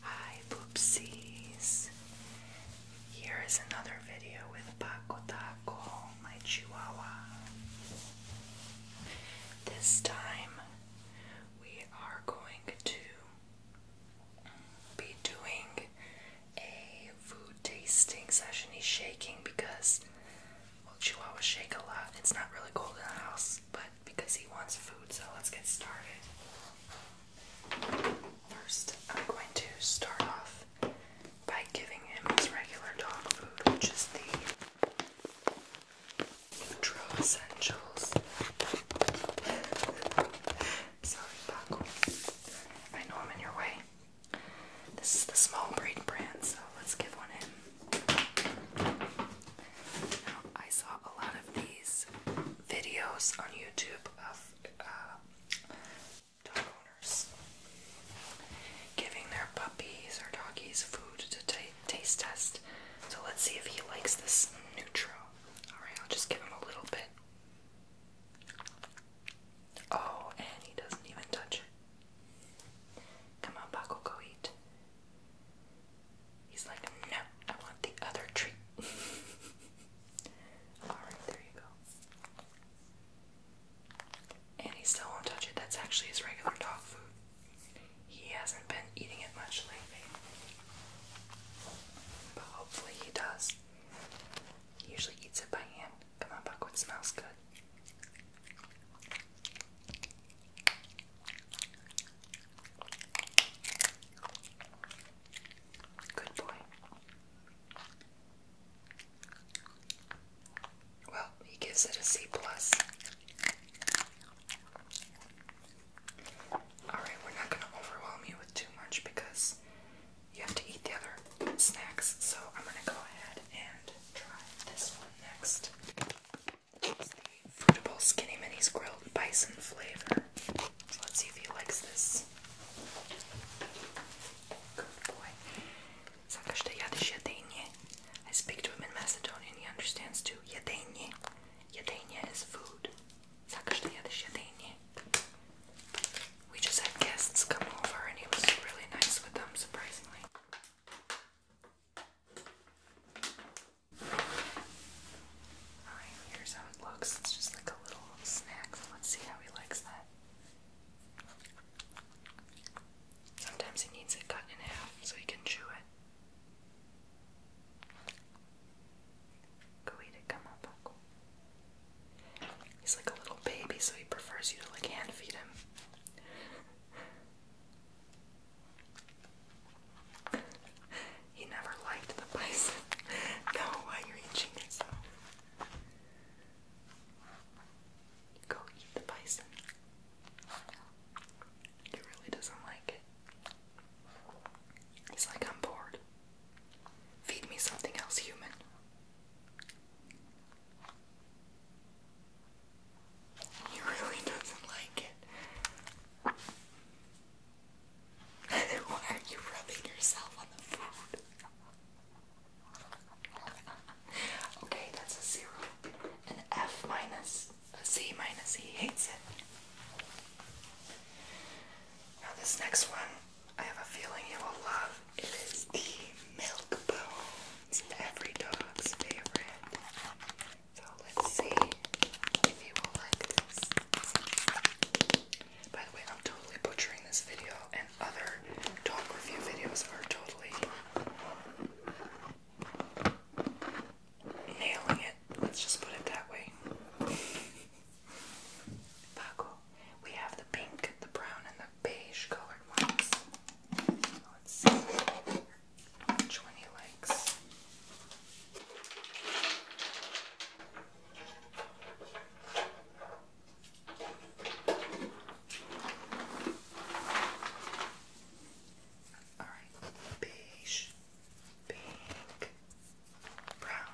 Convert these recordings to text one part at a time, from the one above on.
Hi Poopsies! Here is another video with Paco Taco, my chihuahua. This time we are going to be doing a food tasting session. He's shaking because, well, chihuahuas shake a lot. It's not really cold in the house, but because he wants food, so let's get started. First, I'm going to start off by giving him his regular dog food, which is the Nutro Essentials. Sorry, Paco. I know I'm in your way. This is the small breed brand, so let's give one in. Now, I saw a lot of these videos on YouTube of uh, dog owners giving their puppies or doggies food to taste test. So let's see if he likes this neutral. Alright, I'll just give him a little bit. Oh, and he doesn't even touch it. Come on, Paco, go eat. He's like, no, I want the other treat. Alright, there you go. And he still won't touch it. That's actually his regular dog food. He hasn't been eating it much lately. But hopefully he does. He usually eats it by hand. Come on, Buckwood smells good. Good boy. Well, he gives it a C plus. Alright, we're not gonna overwhelm you with too much because you have to eat the other snacks, so I'm gonna go ahead and try this one next. Fruitable Skinny Minis Grilled Bison Flavor. let's see if he likes this. Good boy. Zakashtayadesh Yadenie. I speak to him in Macedonian, he understands too. Yadenie. Yadenie is food. Zakashtayadesh Yadenie. We just had guests come over and he was really nice with them, surprisingly. Alright, here's how it looks. It's just like a little snack, let's see how he likes that. Sometimes he needs it cut in half so he can chew it. Go eat come on, He's like a little baby, so he prefers you to like hand feed him he never liked the bison. no, why you're itching it Go eat the bison. He really doesn't like it. He's like, I'm bored. Feed me something else, human. He really doesn't like it. Why are you rubbing yourself on the food? okay, that's a zero. An F minus, a Z minus, E hates it. Now, this next one, I have a feeling you will love. It is the milk bones, every dog's favorite. So let's see if you will like this. By the way, I'm totally butchering this video, and other talk review videos are totally nailing it. Let's just put it that way. we have the pink, the brown, and the beige colored ones. Let's see which one Thanks. All right, beige, pink, brown.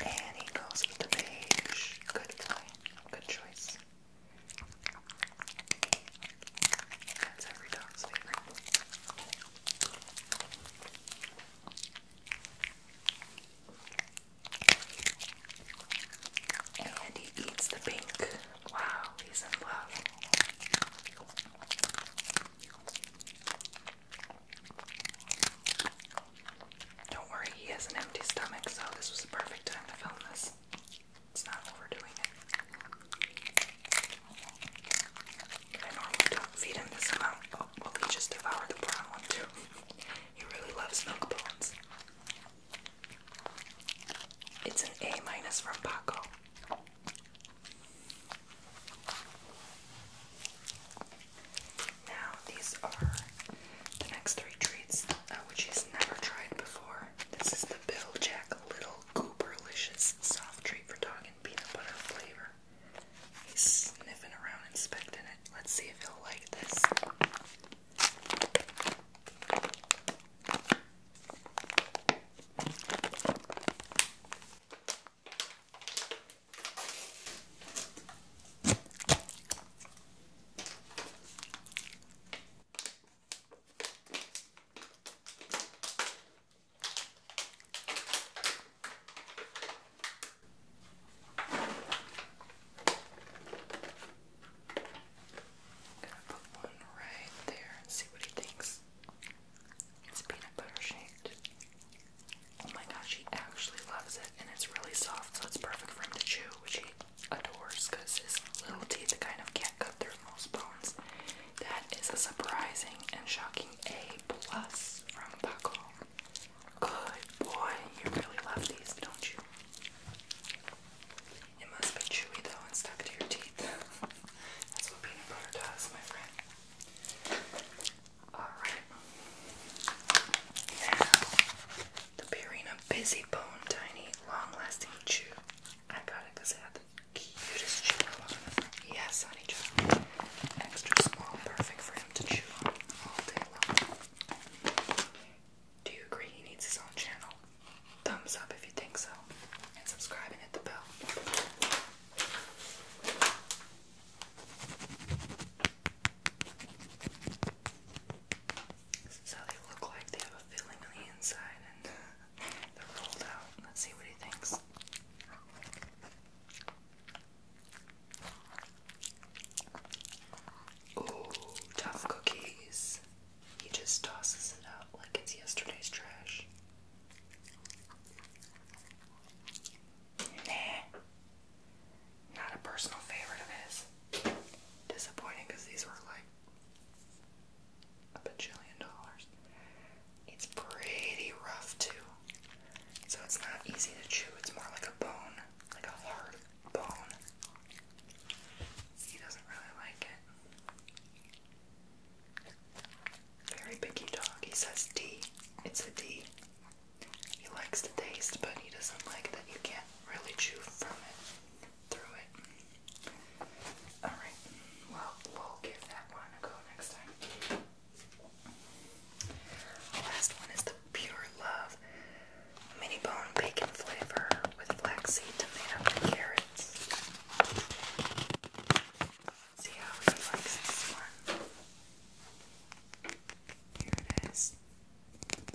And he goes with the beige. Good toy. Good choice. That's every dog's favorite. And he eats the pink. Wow, he's in love. Don't worry, he has an empty stomach, so this was the perfect time to film this. It's not overdoing it. I normally don't feed him this amount. Oh, well, he just devoured the brown one, too. He really loves milk bones. It's an A minus from Paco. Now these are the next three treats, uh, which he's never tried before. This is the Bill Jack Little Gooberlicious soft treat for dog and peanut butter flavor. He's sniffing around, inspecting Let's see if he'll like this. Gonna put one right there and see what he thinks. It's peanut butter shaped. Oh my gosh, he actually loves it, and it's really soft, so it's perfect for him to chew, which he adores because his little teeth kind of can't cut through most bones. That is a surprising and shocking A plus from Buckle. Good boy. You really love these, don't you? It must be chewy though and stuck to your teeth. That's what peanut butter does, my friend. Alright. Now, the Purina Busy Bone Tiny Long Lasting Chew. I got it because it had the cutest chew Yes, honey child. Extra small, perfect for him to chew on all day long. Do you agree he needs his own channel? Thumbs up if you think so, and subscribe and hit the bell. So they look like they have a filling on the inside and they're rolled out. Let's see what he thinks. Ooh, tough cookies. He just tosses it out like it's yesterday's trash. Nah. Not a personal favorite of his. Disappointing because these were like a bajillion dollars. It's pretty rough too. So it's not easy to chew, it's more like a bone like a hard bone. He doesn't really like it. Very picky dog. He says D. It's a D. He likes the taste, but he doesn't like that you can't really chew from it, through it. Alright, well, we'll give that one a go next time. Last one is the Pure Love Mini Bone Bacon Flavor with flaxseed, tomato, and carrots. see how he likes this one. Here it is.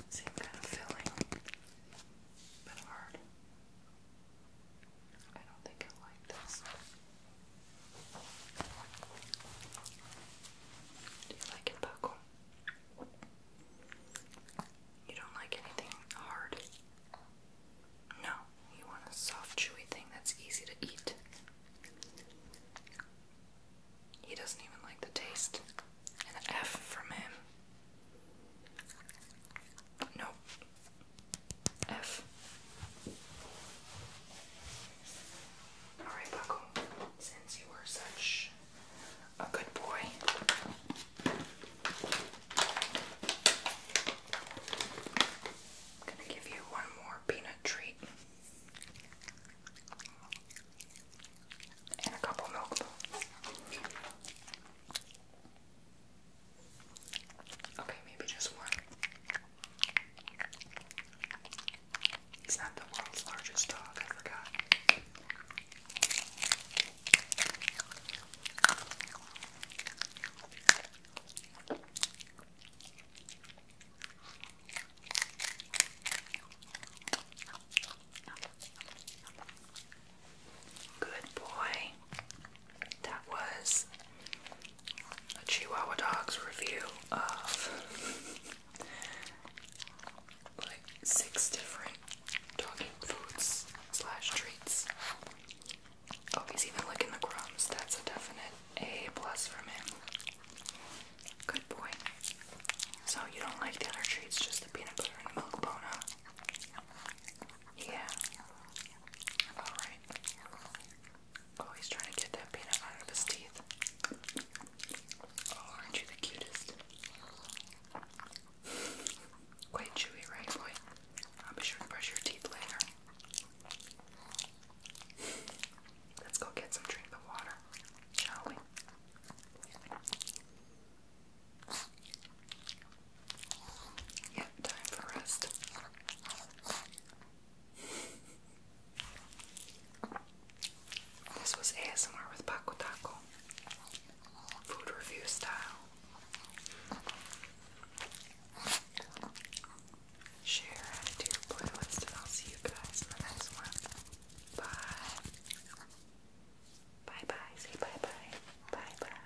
Same kind of filling, but hard. I don't think I like this. Do you like it, Buckle? You don't like anything hard? No, you want a soft, chewy thing that's easy to eat. He doesn't even like the taste. An F from him. Nope. F. Alright, Buckle, since you were such a good boy, I'm gonna give you one more peanut treat and a couple milk balls. Okay, maybe just one. He's not the world's largest dog, I forgot. Good boy. That was a Chihuahua dog's review of like six different doggy foods slash treats. Oh, he's even licking the crumbs. That's a definite A plus from him. Good boy. So you don't like the other treats, just the peanut butter and milk bone, Yeah. Alright. Oh, he's trying to get that peanut out of his teeth. Oh, aren't you the cutest? Quite chewy, right, boy? I'll be sure to brush your teeth later. Let's go get some drink of water, shall we? Yep, time for rest. This was ASMR with Paco Taco, food review style. Share, to your playlist, and I'll see you guys in the next one. Bye. Bye bye. Say bye bye. Bye bye.